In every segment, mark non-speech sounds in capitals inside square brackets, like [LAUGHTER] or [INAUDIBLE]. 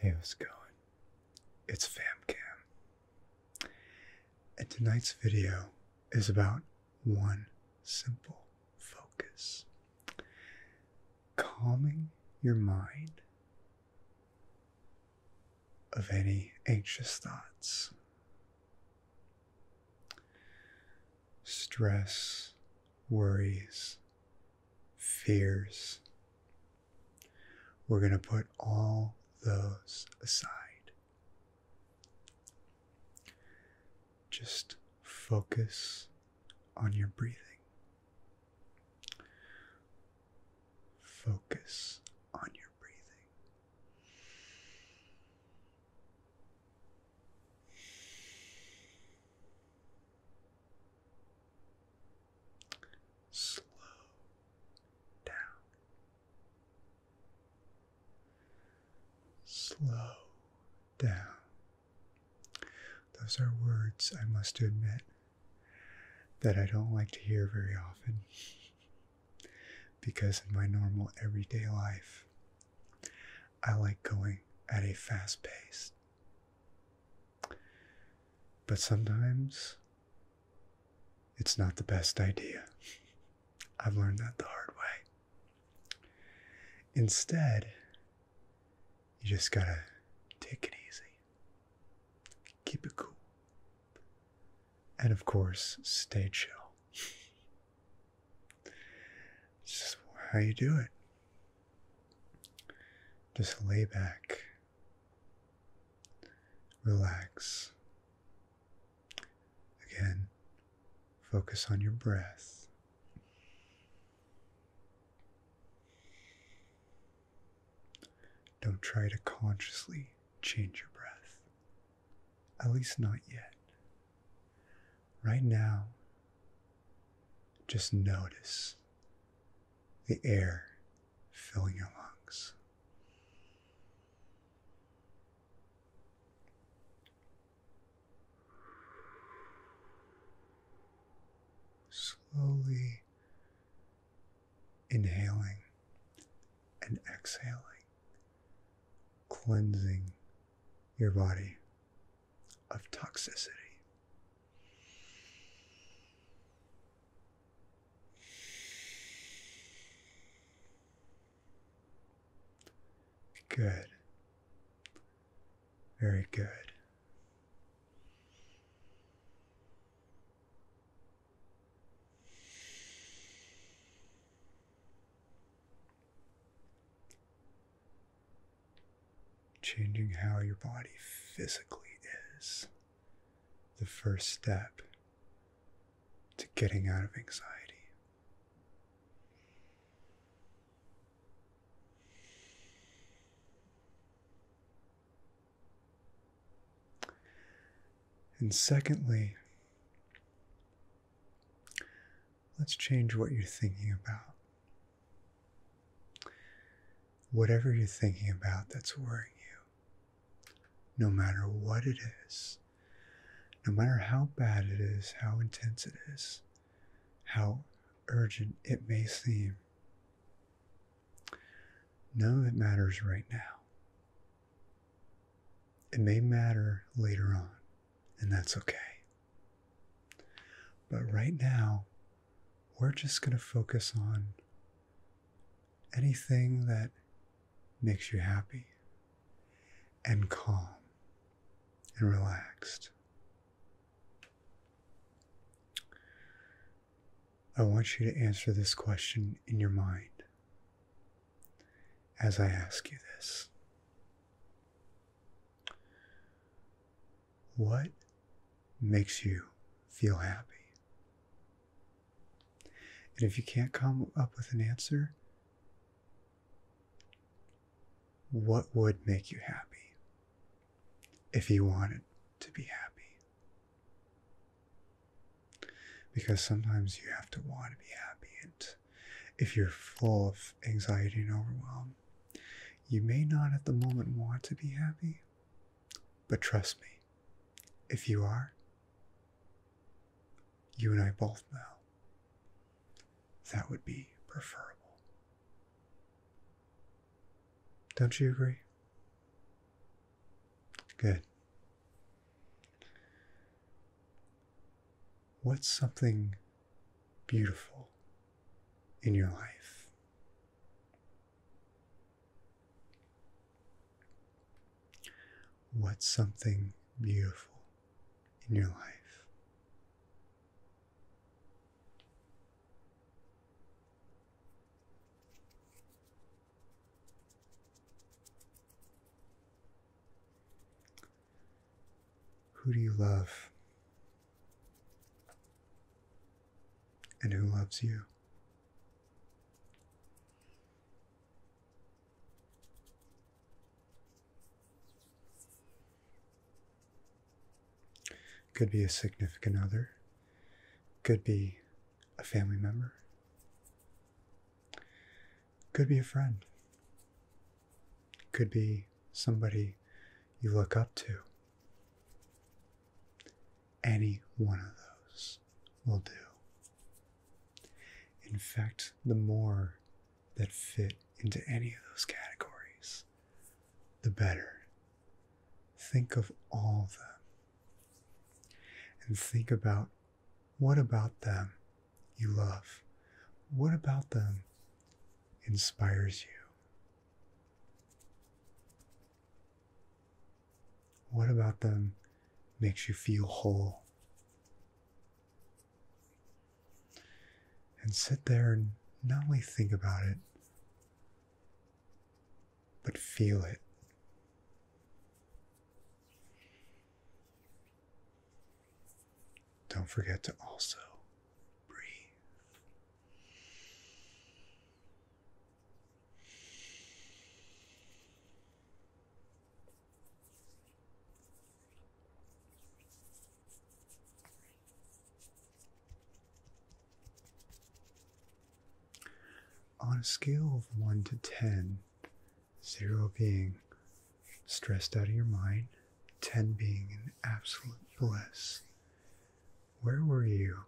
Hey, how's going? It's FamCam. And tonight's video is about one simple focus calming your mind of any anxious thoughts, stress, worries, fears. We're going to put all those aside just focus on your breathing. Focus on your breathing. Slow down. Slow down. Those are words I must admit that I don't like to hear very often [LAUGHS] because in my normal everyday life, I like going at a fast pace. But sometimes it's not the best idea. [LAUGHS] I've learned that the hard way. Instead, you just gotta take it easy, keep it cool, and of course, stay chill. It's just how you do it. Just lay back, relax, Again, focus on your breath. Don't try to consciously change your breath, at least not yet. Right now, just notice the air filling your lungs. Slowly inhaling and exhaling, cleansing your body of toxicity. Good. Very good. Changing how your body physically is the first step to getting out of anxiety. And secondly, let's change what you're thinking about. Whatever you're thinking about that's worrying you, no matter what it is, no matter how bad it is, how intense it is, how urgent it may seem. no, it matters right now. It may matter later on, and that's okay. But right now, we're just going to focus on anything that makes you happy and calm and relaxed. I want you to answer this question in your mind as I ask you this. What makes you feel happy? And if you can't come up with an answer, what would make you happy if you wanted to be happy? Because sometimes you have to want to be happy. And if you're full of anxiety and overwhelm, you may not at the moment want to be happy, but trust me, if you are, you and I both know that would be preferable. Don't you agree? Good. What's something beautiful in your life? What's something beautiful in your life? Who do you love? And who loves you? Could be a significant other, could be a family member, could be a friend, could be somebody you look up to. Any one of those will do. In fact, the more that fit into any of those categories, the better. Think of all of them. And think about what about them you love? What about them inspires you? What about them makes you feel whole? And sit there and not only think about it, but feel it. Don't forget to also breathe. On a scale of 1 to 10, 0 being stressed out of your mind, 10 being an absolute bliss, where were you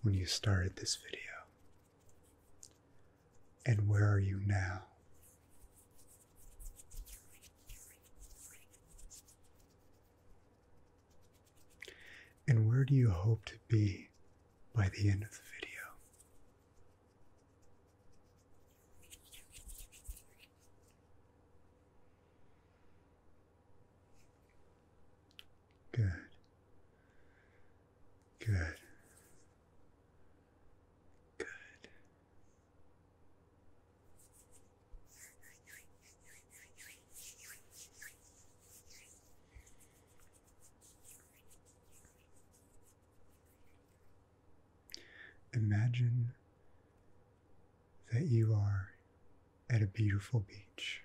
when you started this video? And where are you now? And where do you hope to be by the end of the video? Good. Good. Good. Imagine that you are at a beautiful beach.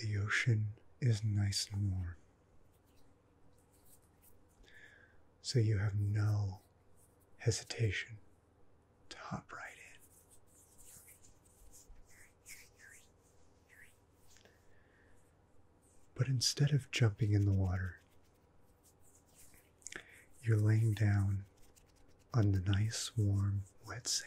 The ocean is nice and warm. So you have no hesitation to hop right in. But instead of jumping in the water, you're laying down on the nice, warm, wet sand.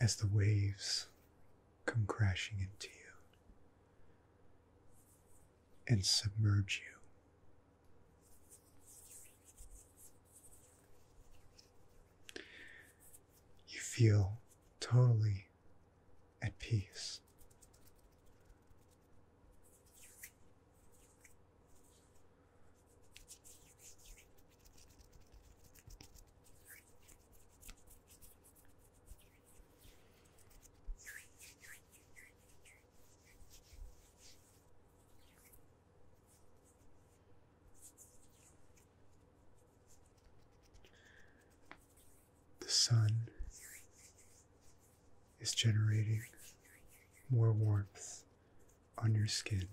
As the waves come crashing into you and submerge you. You feel totally at peace. The sun is generating more warmth on your skin.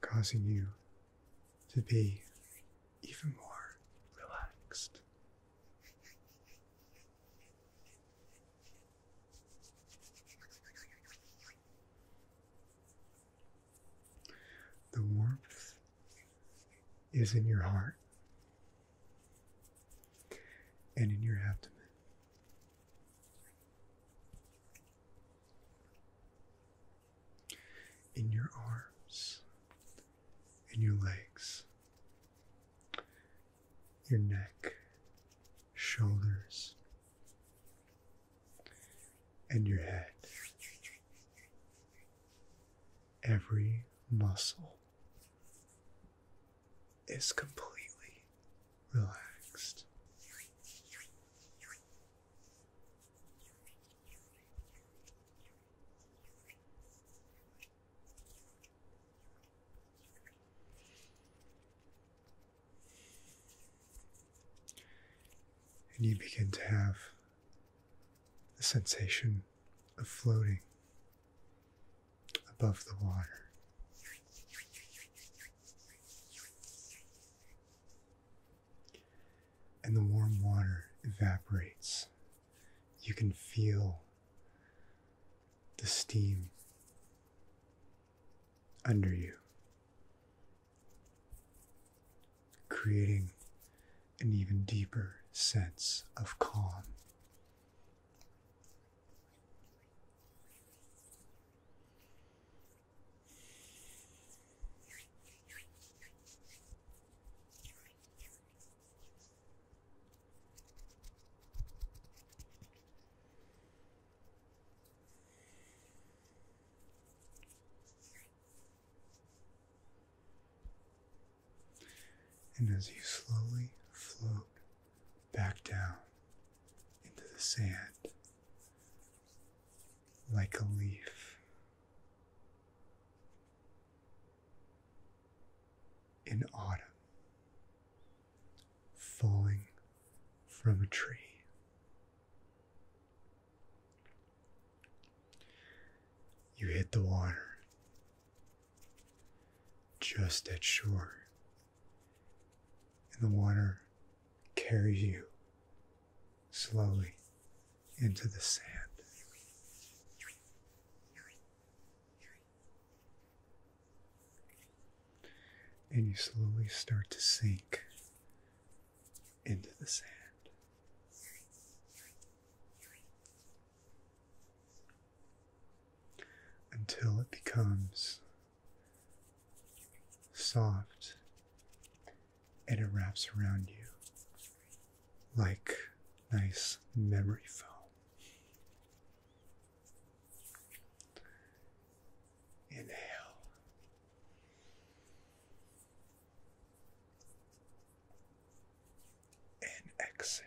Causing you to be even more relaxed. The warmth is in your heart and in your abdomen. In your arms, in your legs, your neck, shoulders, and your head. Every muscle is completely relaxed. And you begin to have the sensation of floating above the water. And the warm water evaporates. You can feel the steam under you, creating an even deeper sense of calm. And as you slowly float back down into the sand like a leaf, in autumn, falling from a tree. You hit the water just at shore, and the water carries you slowly into the sand. And you slowly start to sink into the sand. Until it becomes soft and it wraps around you like nice memory foam. Inhale. And exhale.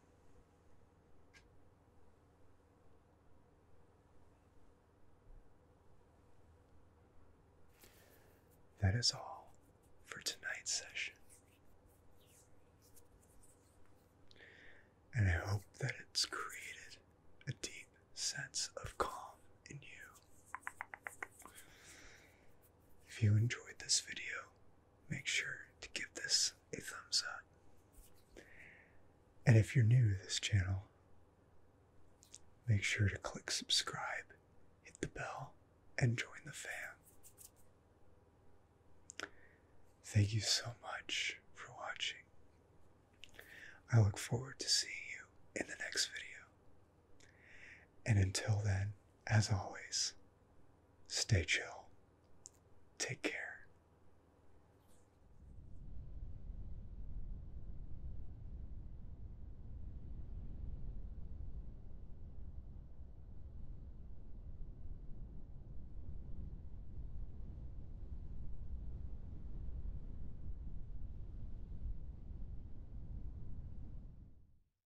That is all for tonight's session. And I hope that it's created a deep sense of calm in you. If you enjoyed this video, make sure to give this a thumbs up. And if you're new to this channel, make sure to click subscribe, hit the bell, and join the fam. Thank you so much for watching. I look forward to seeing you in the next video. And until then, as always, Stay chill. Take care.